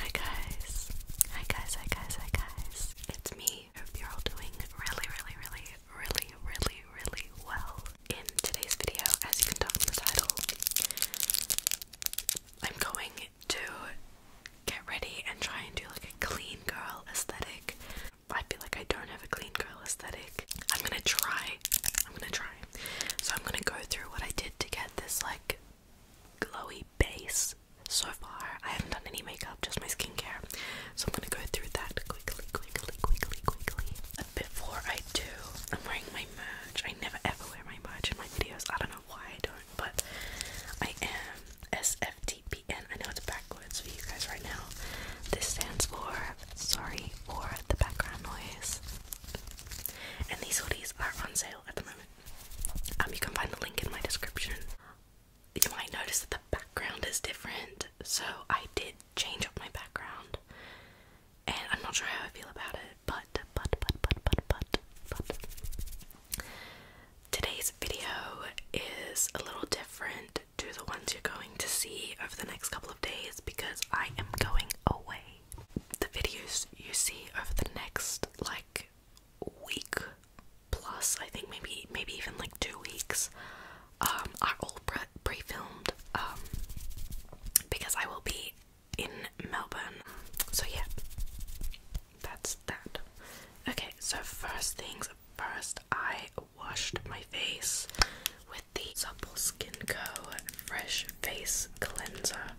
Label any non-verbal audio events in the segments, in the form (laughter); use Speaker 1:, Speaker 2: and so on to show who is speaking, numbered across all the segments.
Speaker 1: Hi guys. Hi guys, hi guys, hi guys. It's me. Hope you're all doing really, really, really, really, really, really well. In today's video, as you can tell from the title, I'm going to get ready and try and do like a clean girl aesthetic. I feel like I don't have a clean girl aesthetic. I'm gonna try. I'm gonna try. So I'm gonna go through what I did to get this like glowy base so far. I haven't done any makeup, just my skincare. So I'm gonna go through that quickly, quickly, quickly, quickly. But before I do, I'm wearing my merch. I never ever wear my merch in my videos. I don't know why I don't, but I am SFTPN. I know it's backwards for you guys right now. This stands for sorry for the background noise. And these hoodies are on sale at the moment. Um, you can find the link in my description. You might notice that the background is different, so I did change up my background, and I'm not sure how I feel about it. But but but but but but but today's video is a little different to the ones you're going to see over the next couple of days because I am going away the videos you see over the next like week plus I think maybe maybe even like two weeks um are all pre-filmed um because I will be in Melbourne so yeah that's that okay so first things first I washed my face with the Supple Skin Co fresh face cleanser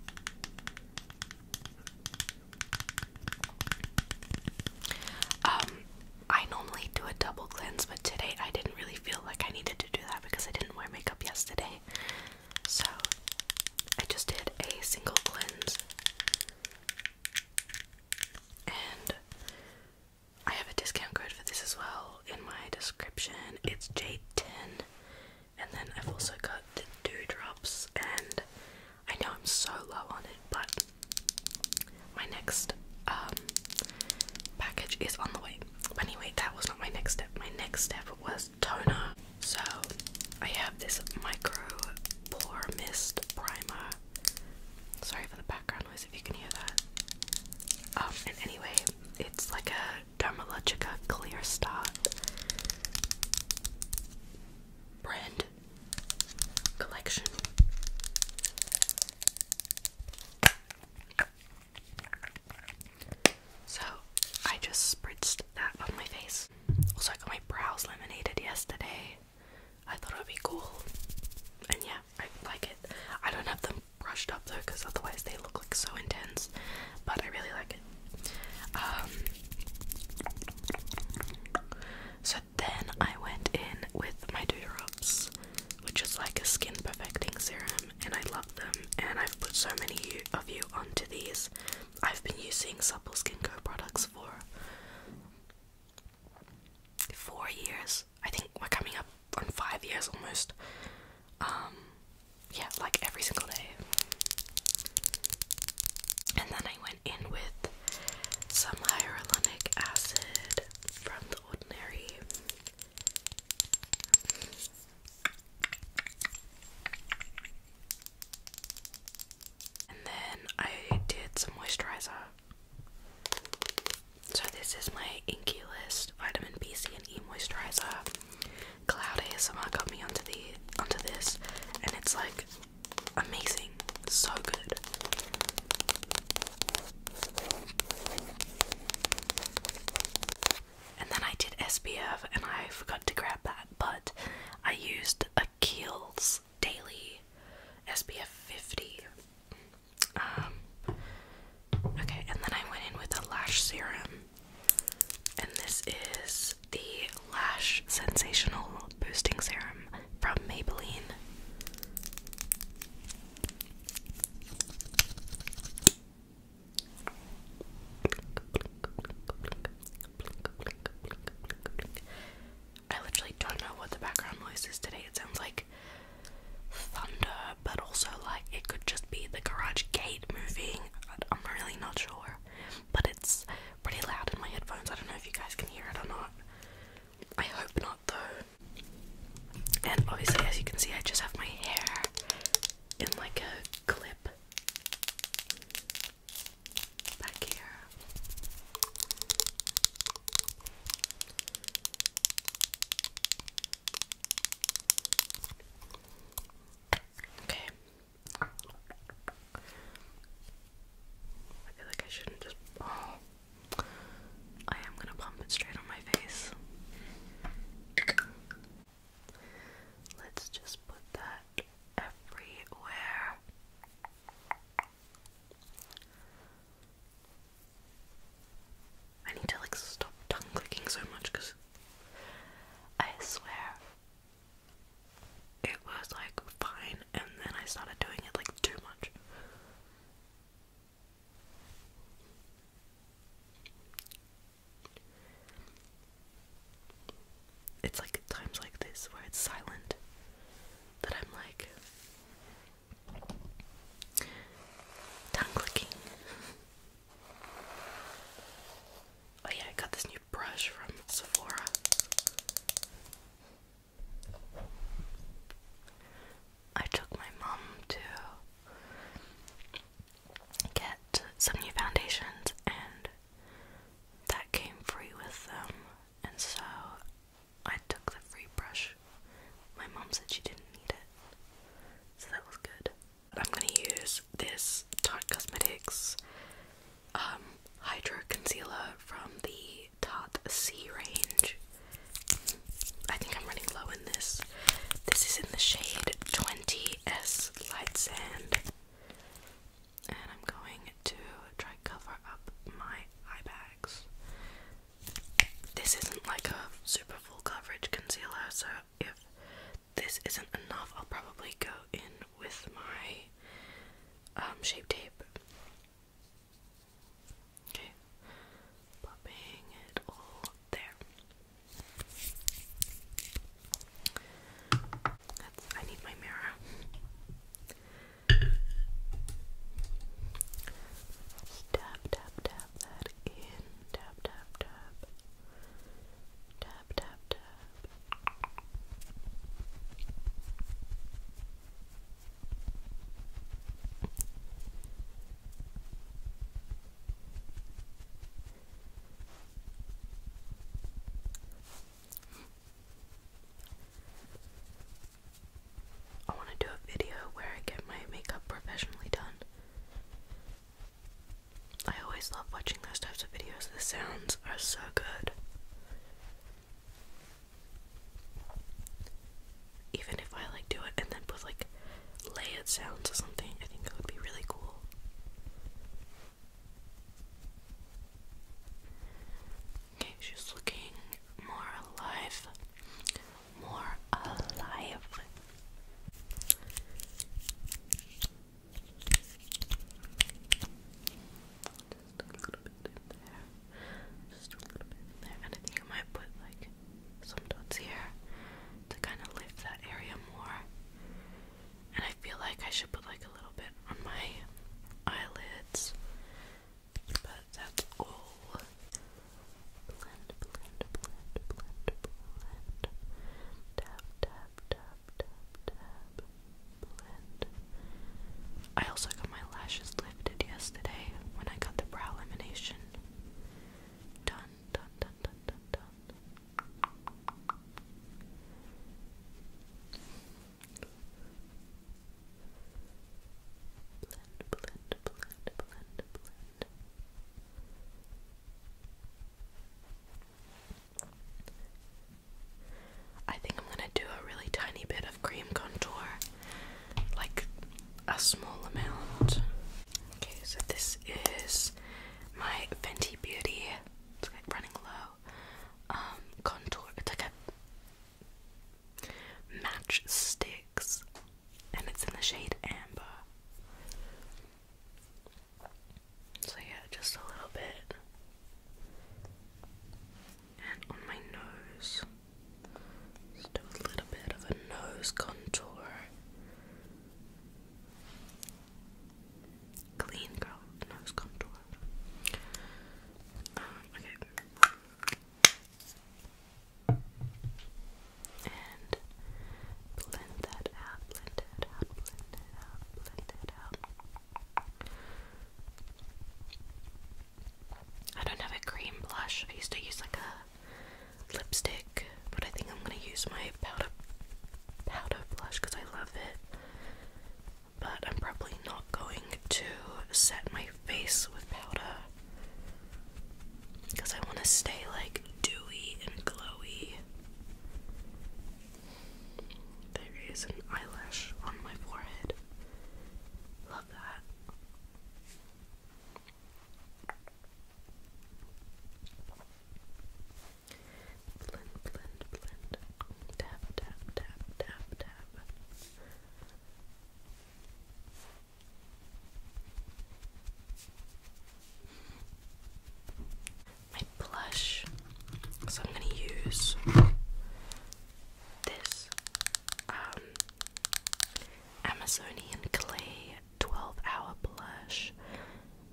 Speaker 1: um, I normally do a double cleanse, but today I didn't really feel like I needed to do that because I didn't wear makeup yesterday. So I just did a single cleanse. And I have a discount code for this as well in my description. It's J10 and then I've also got the dewdrops, and I know I'm so low on it, but my next um, package is on the way. But anyway, that was not my next step. My next step was toner. So I have this micro pore mist primer. Sorry for the background noise if you can hear that. Um, and anyway, it's like a Dermalogica Clear Stop brand collection. So I just spritzed that on my face. Also, I got my brows laminated yesterday. I thought it would be cool. And yeah, I like it. I don't have them brushed up though because otherwise they look like so intense. But I really like it. Um, so then I went in with my Dew which is like a skin perfecting serum, and I love them. And I've put so many of you onto these. I've been using Supple Skin Co products for four years. I think we're coming up on five years almost. Um, yeah, like every single day. And then I went in with some hyaluronic acid from The Ordinary. And then I did some moisturizer. So, this is my Inky List Vitamin B, C, and E moisturizer. Cloud I got me onto the onto this, and it's like amazing, so good. And then I did SPF, and I forgot to grab that, but I used a Kiehl's Daily SPF 50. Um, okay, and then I went in with a lash serum. And this is the Lash Sensational Boosting Serum from Maybelline. I literally don't know what the background noise is today. It sounds like thunder, but also like it could just be the garage gate moving. I'm really not sure but it's pretty loud in my headphones. I don't know if you guys can hear it or not. I hope not though. And obviously, as you can see, I just have my hair in like a clip back here. Okay, I feel like I shouldn't just. I am gonna pump it straight on my face. Let's just put that everywhere. I need to like stop tongue clicking so much because I swear it was like fine, and then I started doing it like too much. It's like times like this where it's silent that I'm like tongue clicking. (laughs) Oh yeah, I got this new brush from Sephora. I took my mum to get some new foundations, and that came free with them. And so I took the free brush. My mum said she didn't need it, so that was good. I'm gonna use this Tarte Cosmetics um, Hydro Concealer from the Tarte C range. I think I'm running low in this. This is in the shade 20S Light Sand. And I'm going to try cover up my eye bags. This isn't like a super full coverage concealer, so if this isn't enough, I'll probably go in with my um, shape tape. Okay, popping it all there. I need my mirror. Tap, tap, tap that in. tap, tap. Tap, I want to do a video where I get my makeup professionally done. I always love watching those types of videos. The sounds are so good. Even if I like do it and then put like layered sounds or something, I think it would be really cool. Okay, she's looking more alive. More alive. Just a little bit there. Just a little bit there. And I think I might put like some dots here to kind of lift that area more. And I feel like I should put like a little bit on my eyelids. But that's all. Blend, blend, blend, blend, blend. Tap, tap, tap. I also got my lashes lifted yesterday when I got the brow elimination. done, done, done, done, done. Blend, blend, blend, blend, blend. I think I'm gonna do a really tiny bit of cream contour, like a small amount. Okay, so this is my Fenty Beauty. It's running low. Um, contour. It's like a match sticks, and it's in the shade amber. So yeah, just a little bit. And on my nose, do a little bit of a nose contour. Clean girl nose contour. Um, okay. Blend that out, blend it out, blend it out, blend it out. I don't have a cream blush. I used to use like a lipstick, but I think I'm gonna use my powder powder blush because I love it. But I'm probably not going to set my face with powder because I want to stay like dewy and glowy. There is an eyelash on my forehead. Love that. Blend, blend, blend. Tap, tap, tap, tap, tap my blush. So I'm gonna use this um, Amazonian Clay 12 Hour Blush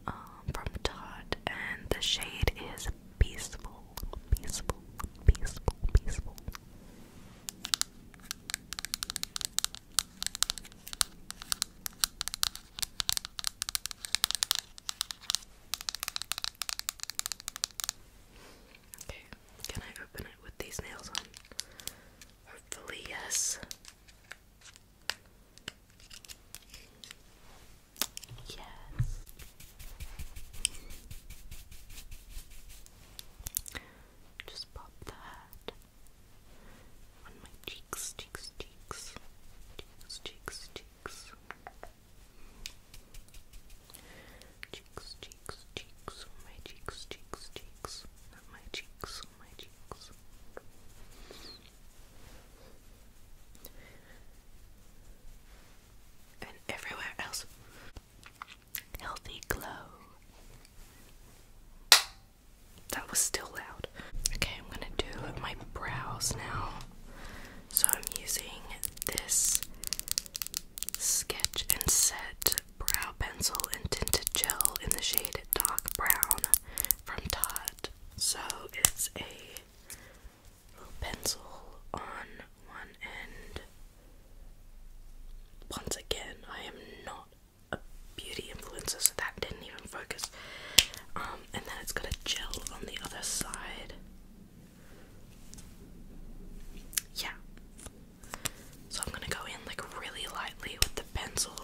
Speaker 1: um, from Tarte, and the shade is Peaceful, Peaceful, Peaceful, Peaceful. Okay, can I open it with these nails on? Hopefully, yes. Yes. Just pop that on my cheeks, cheeks, cheeks, cheeks, cheeks, cheeks cheeks. Cheeks, cheeks, oh, my cheeks, cheeks, cheeks, my cheeks, oh, my cheeks. And everywhere else. Healthy glow. That was still loud. Okay, I'm gonna do my brows now. So I'm using this Sketch and Set brow pencil and tinted gel in the shade Dark Brown from Tarte. So it's a little pencil on one end. Once again, I am not a beauty influencer, so that didn't even focus. Um, and then it's got a gel on the other side. Yeah. So I'm gonna go in like really lightly with the pencil,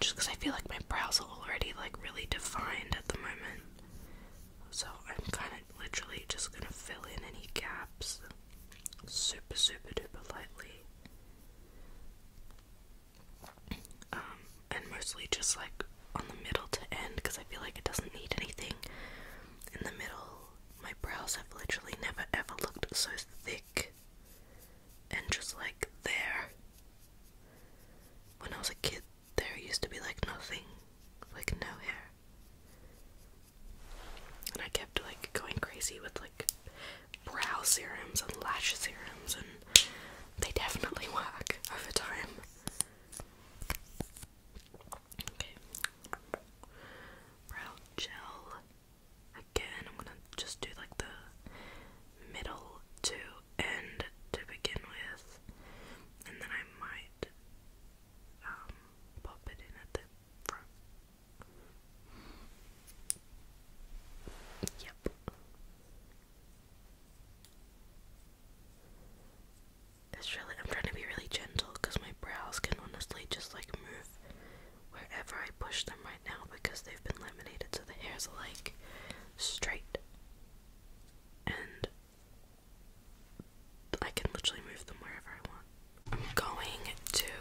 Speaker 1: just because I feel like my brows are already like really defined at the moment. So I'm kind of literally just gonna fill in any gaps, super super duper lightly. Um, and mostly just like on the middle to end because I feel like it doesn't need anything. In the middle, my brows have literally never ever looked so thick and just like there. When I was a kid, there used to be like nothing, like no hair. And I kept like going crazy with like brow serums and lash serums and they definitely work over time. Okay. Brow gel. Again, I'm gonna just do like the middle to end to begin with, and then I might um, pop it in at the front. Yep. It's really, I'm trying to be really gentle because my brows can honestly just like move wherever I push them right now because they've been laminated so the hairs are like straight and I can literally move them wherever I want. I'm going to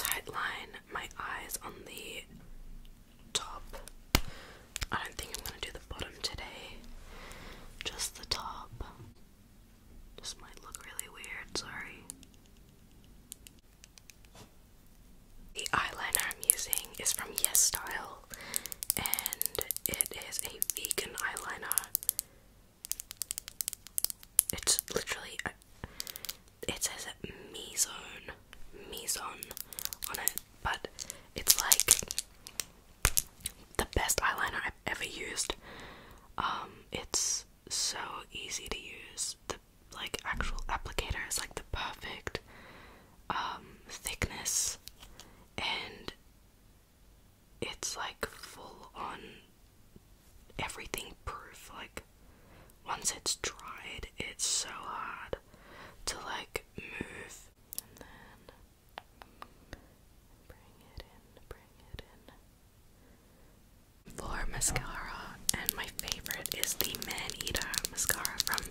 Speaker 1: tightline my eyes on the top. I don't think I'm gonna do the bottom today, just the top. This might look really weird, sorry. The eyeliner I'm using is from Yes Style, and it is a vegan eyeliner. It's literally, it says Mizone, Mizone on it, but it's like the best eyeliner I've ever used. Um, it's so easy to use. The like actual applicator is like the perfect um thickness and it's like full on everything proof like once it's dried it's so hard to like move. And then bring it in, bring it in. Floor mascara, and my favorite is the Man Eater mascara from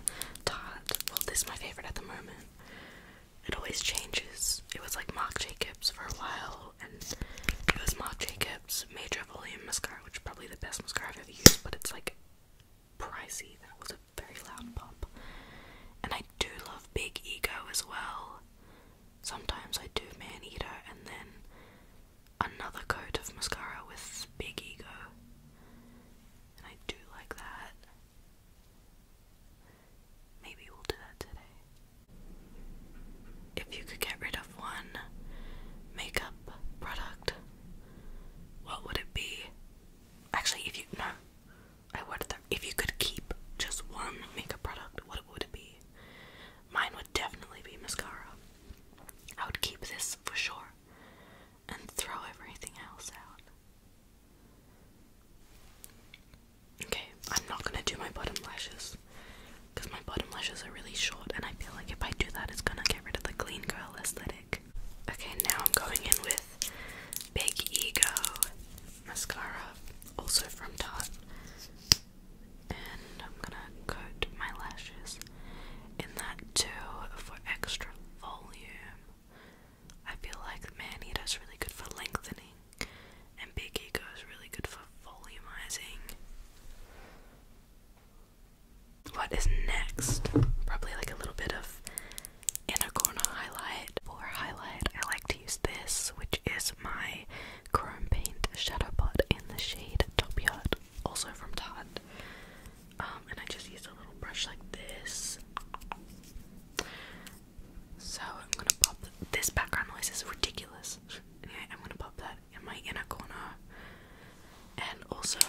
Speaker 1: Tarte. Well, this is my favorite at the moment. It always changes. It was like Marc Jacobs for a while, and it was Marc Jacobs Major Volume Mascara, which is probably the best mascara I've ever used, but it's like pricey. That was a very loud pop. And I do love Big Ego as well. Sometimes I do Man Eater and then another coat of mascara with Big Ego. And I do like that. Maybe we'll do that today. If you could get rid of one makeup product, what would it be? Actually, if you no, I would. If you could keep just one makeup product, what would it be? Mine would definitely be mascara. I would keep this for sure, and throw everything else out. Okay, I'm not gonna do my bottom lashes because my bottom lashes are really short, and I feel like if I do that, it's gonna get rid of the clean girl aesthetic. Okay, now I'm going in with Big Ego mascara, also from Tarte. And I'm gonna coat my lashes in that too for extra volume. I feel like Manita's really good for lengthening, and Big Ego is really good for volumizing. What is next? Probably like a little bit of inner corner highlight. or highlight, I like to use this, which is my Chrome Paint Shadow Pot in the shade Top also from Todd. Um, and I just use a little brush like this. So I'm gonna pop this background noise is ridiculous. Anyway, I'm gonna pop that in my inner corner. And also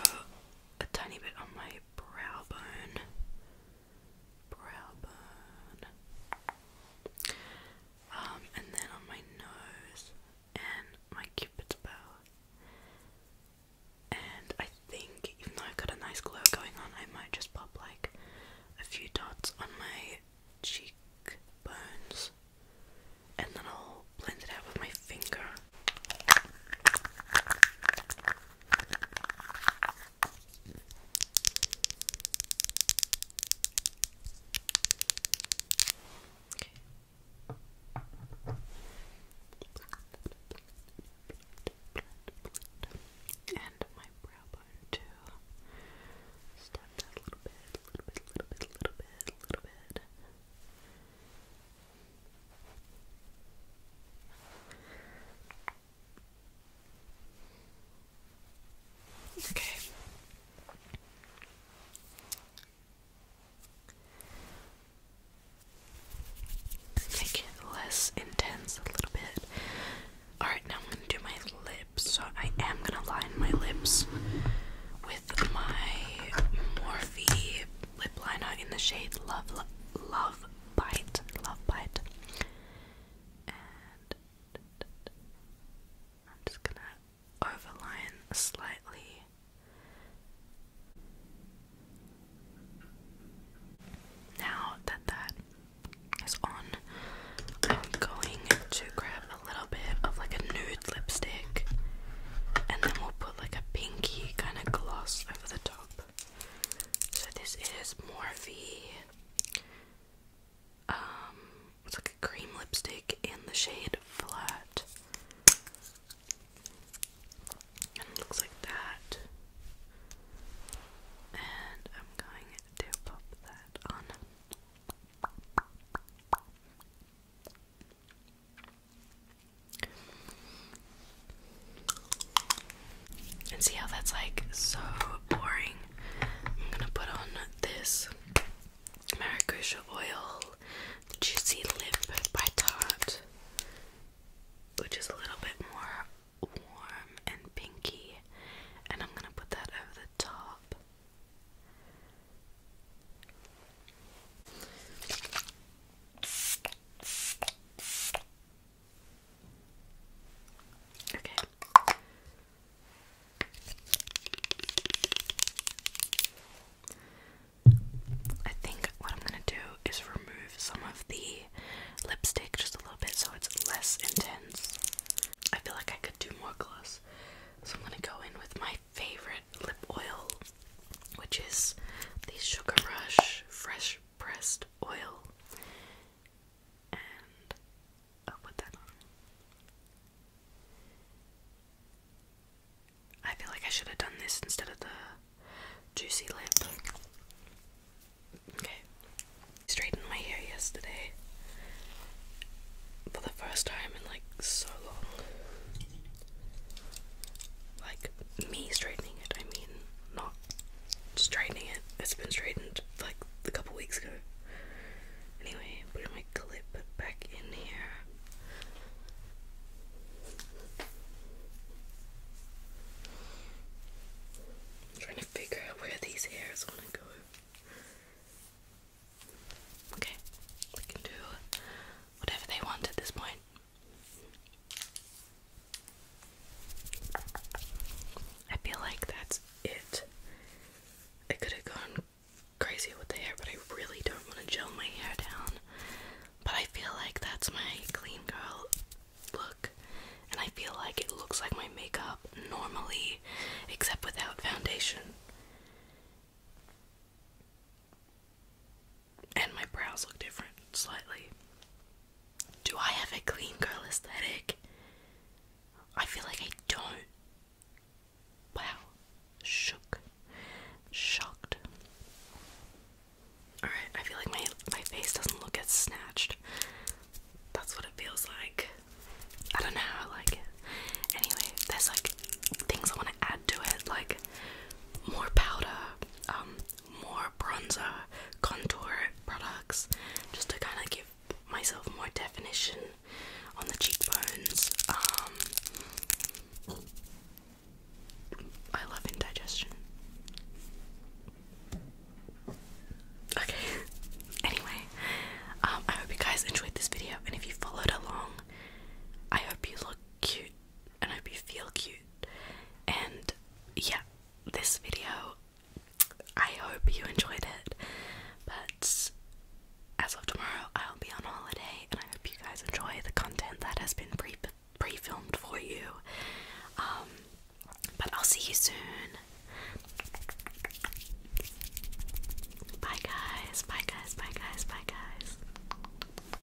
Speaker 1: a tiny bit on my brow bone. Brow bone. Um, and then on my nose and my cupid's bow. And I think, even though I've got a nice glow going on, I might just pop like a few dots on my cheekbones. And then I'll blend it out with my finger. And my brow bone too. Step that a little bit, a little bit, a little bit, a little bit, a little bit. Okay. Make it less intense a little bit. Alright, now I'm gonna do my lips. So I am gonna line my lips with my Morphe lip liner in the shade Love Love, Love Bite. Love Bite. I'm just gonna overline slightly. Now that that is on, I'm going to grab a little bit of like a nude lipstick and then we'll put like a pinky kind of gloss over the top. So this is Morphe. Um, it's like a cream lipstick in the shade Flat. And it looks like that. And I'm going to pop that on. And see how that's like so boring. I'm gonna put on this Maracuja Oil Juicy Lip by Tarte, which is a little bit more warm and pinky, and I'm gonna put that over the top. Okay. I think what I'm going to do is remove some of the lipstick just a little bit so it's less intense. I feel like I could do more gloss. So I'm going to go in with my favorite lip oil which is the Sugar Rush Fresh Pressed Oil. And i that I feel like I should have done this instead of the juicy lip. Okay. Straightened my hair yesterday for the first time in like so long. Like me straightening it, I mean, not straightening it. It's been straightened like a couple weeks ago. Anyway, putting my clip back in here. trying to figure out where these hairs want to go. Okay, we can do whatever they want at this point. I feel like that's it. I could have gone crazy with the hair, but I really don't want to gel my hair down. But I feel like that's my clean girl look, and I feel like it looks like my makeup normally, except without foundation. And my brows look different slightly. Do I have a clean girl aesthetic? I feel like I don't. Wow. Shook. Shocked. Alright, I feel like my my face doesn't look as snatched. That's what it feels like. I don't know like Anyway, there's like things I want to add to it like more powder, um, more bronzer, contour products, just to kind of give myself more definition on the cheekbones. Um, I love indigestion. Okay. (laughs) anyway, um, I hope you guys enjoyed this video, and if you followed along, I hope you look cute and I hope you feel cute. And yeah, this video, I hope you enjoyed it. But as of tomorrow, I'll be on holiday, and I hope you guys enjoy the content that has been pre pre filmed for you. Um, but I'll see you soon. Bye, guys. Bye, guys. Bye, guys. Bye, guys.